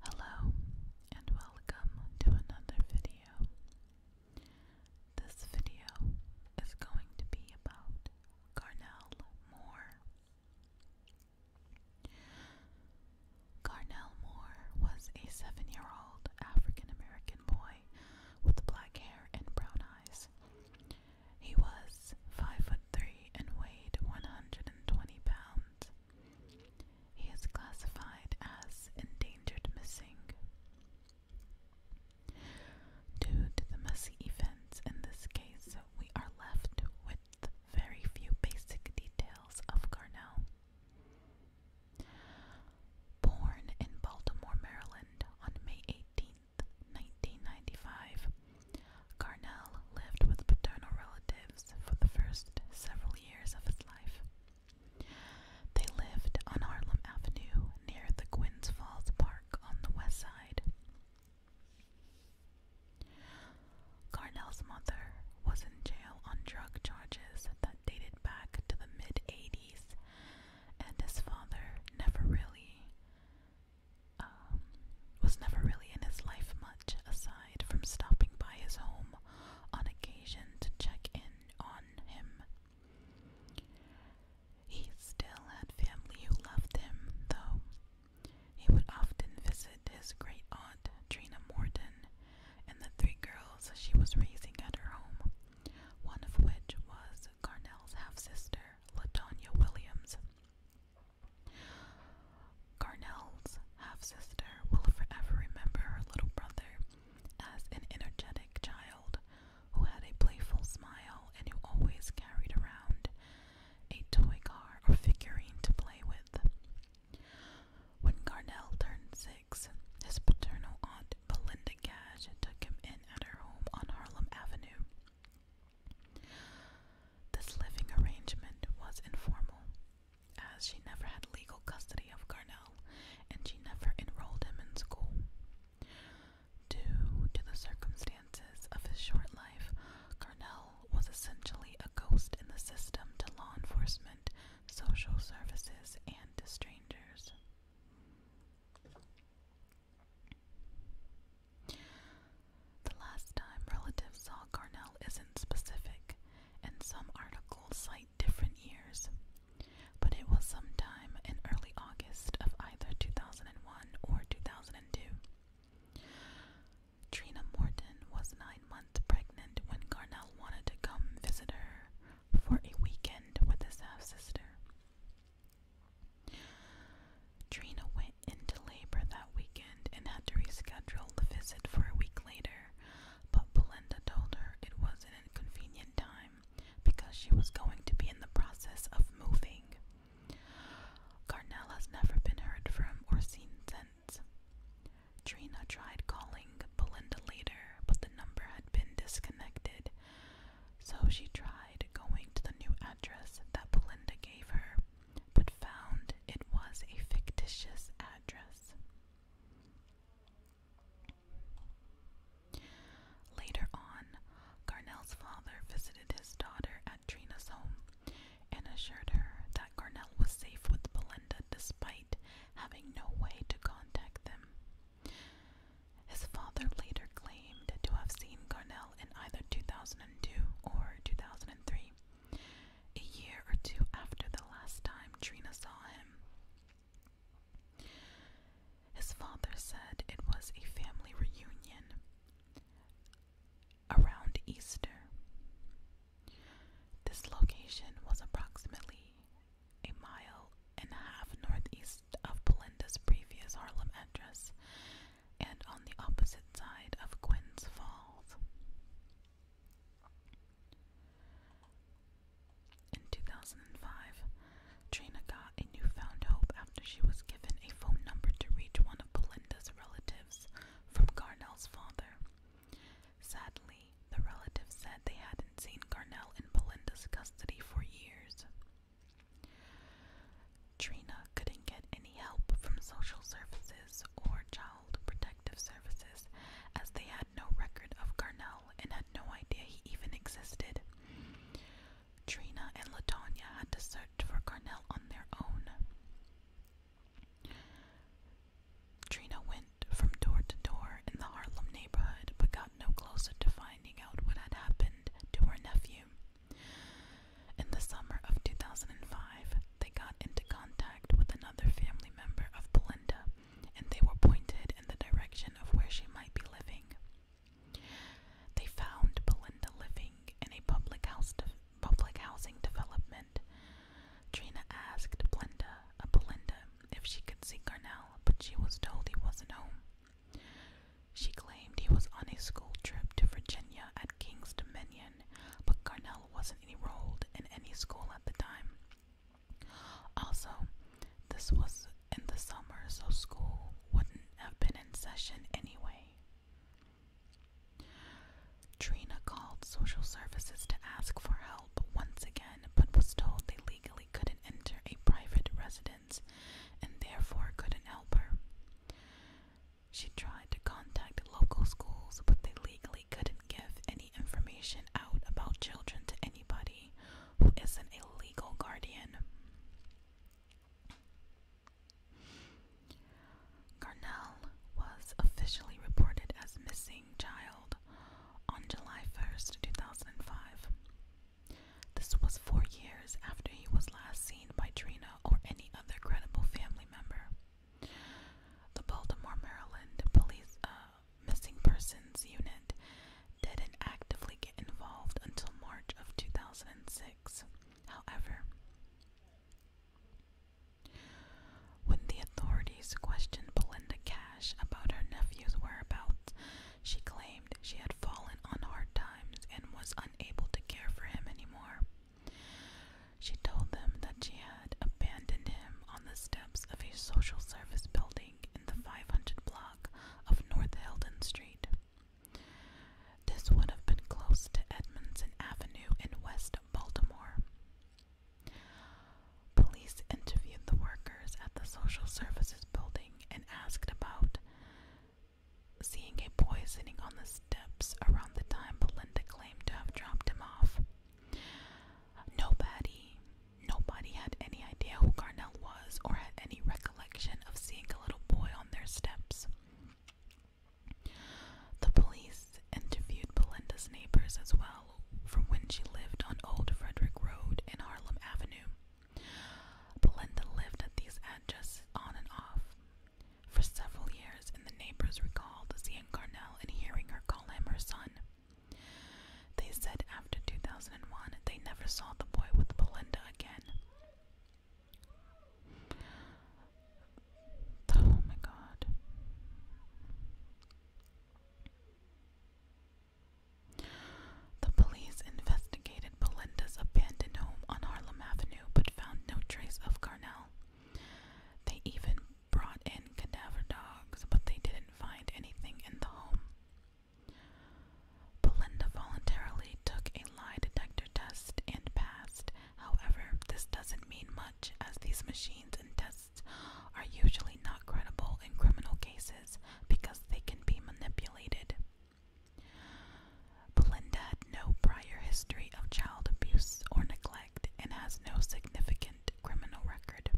Hello and welcome to another video. This video is going to be about Garnell Moore. Carnell Moore was a seven year old African American boy with black hair and brown eyes. He was five foot three and weighed 120 pounds. He is classified as endangered missing. Due to the messy events in this case, we are left with with very few basic details of Garnell. Born in Baltimore, Maryland on May 18, 1995, Garnell lived with paternal relatives for the first several years of his life. They lived on Harlem Avenue near the Gwynns Falls Park on the west side. Carnell's mother was in jail on drug charges that dated back to the mid 80s, and his father never really um, was never really in his life much aside from stopping by his home on occasion to check in on him. He still had family who loved him, though, he would often visit his great aunt, Trina Morton, and the three girls she was raising at her home, one of which was Carnell's half sister, Latonia Williams. Carnell's half sister will forever remember her little brother as an energetic child who had a playful smile and who always carried around a toy car or figurine to play with. When Garnell turned six, his paternal aunt Belinda Gash took him in at her home on Harlem Avenue. This living arrangement was informal, as she never had legal custody of Garnell and she never enrolled him in school. Due to the circumstances, circumstances of his short life, Carnell was essentially a ghost in the system to law enforcement, social services, and to strangers. The last time relatives saw Carnell isn't specific, and some articles cite different years, but it was sometime in early August of either 2001 or 2002. Trina Morton was nine months pregnant when Garnell wanted to come visit her for a weekend with his half sister. Trina went into labor that weekend and had to reschedule the visit for a week later, but Belinda told her it was an inconvenient time because she was going to be in the process of moving. Carnell has never been heard from or seen since. Trina tried calling Belinda later, but the number had been disconnected, so she tried going to the new address that Belinda gave her, but found it was a fictitious address. Later on, Garnell's father visited his daughter at Trina's home and assured her that Garnell was safe with Belinda despite having no way to contact them. His father later claimed to have seen Garnell in either 2002 or 2003, a year or two after the last time Trina saw him. His father said it was a family reunion around Easter. This location was approximately a mile and a half northeast of Belinda's previous Harlem address and on the opposite side of Quinn's Falls. In 2005, Trina got a newfound hope after she was given a phone number to reach one of Belinda's relatives from Garnell's father. Sadly, the relative said they hadn't seen Garnell in Belinda's custody for years. Trina couldn't get any help from social services or child protective services as they had no record of Garnell and had no idea he even existed. Trina and Latonia had to search for Carnell on their own. Trina went from door to door in the Harlem neighborhood but got no closer to finding out what had happened to her nephew. In the summer of 2005, they got into contact with another family member of Belinda and they were pointed in the direction of where she might be living. They found Belinda living in a public house public housing development. Trina asked Belinda, uh, Belinda if she could see Garnell, but she was told he wasn't home. She claimed he was on a school trip to Virginia at King's Dominion, but Garnell wasn't enrolled in any school at the time. Also, this was in the summer, so school wouldn't have been in session anyway. Trina called social services to ask for help once again, but was told they legally couldn't enter a private residence and therefore couldn't help her. She tried to contact local schools, but they legally couldn't give any information out about children to anybody who isn't a legal guardian. Garnell was officially reported as missing child on July 1st, 2005. This was four years after he was last seen by Trina or any other credible family member. The Baltimore, Maryland police uh, missing persons unit didn't actively get involved until March of 2006. However, when the authorities questioned Belinda Cash about her nephew's whereabouts, she claimed she had fallen on hard times and was unable to care for him anymore. She told them that she had abandoned him on the steps of a social service building in the 500 block of North Heldon Street. This would have been close to Edmondson Avenue in West Baltimore. Police interviewed the workers at the Social Services building and asked about seeing a boy sitting on the steps around the time Belinda claimed to have dropped him off. Nobody Nobody had any idea who Carnell was or had any recollection of seeing a little boy on their steps. The police interviewed Belinda's neighbors as well from when she lived on Old Frederick Road in Harlem Avenue. Belinda lived at these addresses on and off. For several years, and the neighbors recalled seeing Carnell and hearing her call him her son. They said after 2001 they never saw the boy with Belinda again. Oh my god. The police investigated Belinda's abandoned home on Harlem Avenue but found no trace of Carnell. They even brought in cadaver dogs, but they didn't find anything in the home. Belinda voluntarily took a lie detector test and passed. However, this doesn't mean much, as these machines and tests are usually not credible in criminal cases because they can be manipulated. Belinda had no prior history of child abuse or neglect and has no significant violent criminal record.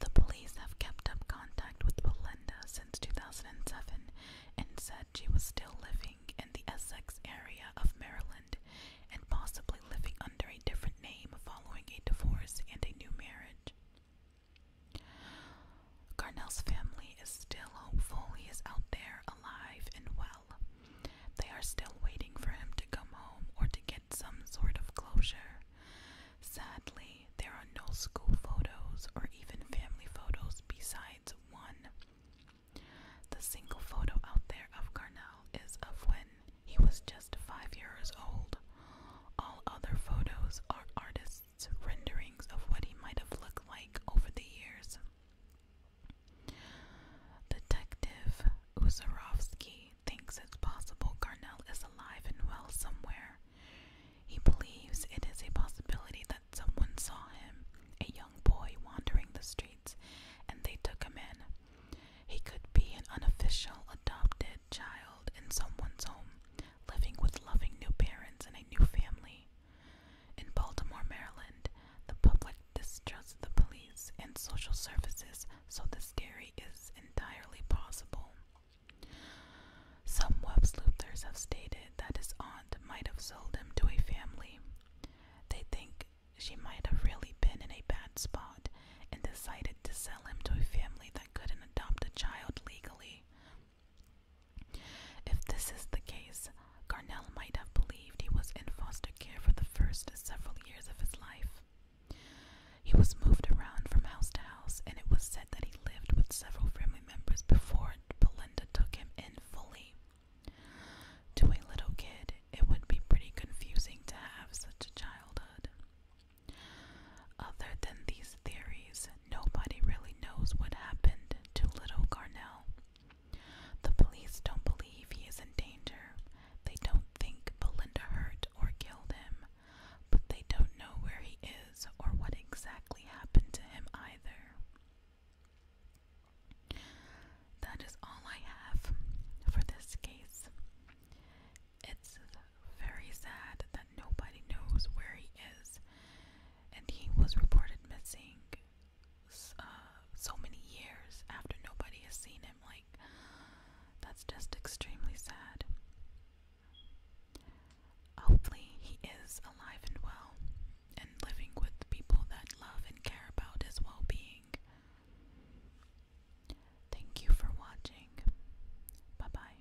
The police have kept up contact with Belinda since 2007 and said she was still living in the Essex area of Maryland and possibly living under a different name following a divorce and a new marriage. Garnell's family is still hopeful he is out there alive and well. They are still waiting for him to come home or to get some sort of closure. Sadly, there are no school photos or even family photos besides one. The single photo out there of Carnell is of when he was just five years old. All other photos are artists' renderings of what he might have looked like over the years. Detective Uzarovsky thinks it's possible Garnell is alive and well somewhere. He believes it is a possibility that someone saw him, a young boy wandering the streets, and they took him in. He could be an unofficial adopted child in someone's home, living with loving new parents and a new family. In Baltimore, Maryland, the public distrusts the police and social services, so this theory is entirely possible. Some web sleuthers have stated that his aunt might have sold him to a family. They think she might have really been in a bad spot and decided to sell him to a family that couldn't adopt a child legally, if this is the case, Garnell might have believed he was in foster care for the first several years of his life. He was moved around from house to house, and it was said that he lived with several family members before Belinda took him in fully. To a little kid, it would be pretty confusing to have such a childhood. Other than these theories, nobody really knows what happened to little Garnell. The police don't believe he is in danger. They don't think Belinda hurt or killed him, but they don't know where he is or what exactly happened to him either. That is all I have for this case. It's very sad that nobody knows where he is and he was reported missing uh, so many years after nobody has seen him. Like, that's just extremely sad. Hopefully, he is alive and well and living with people that love and care about his well being. Thank you for watching. Bye bye.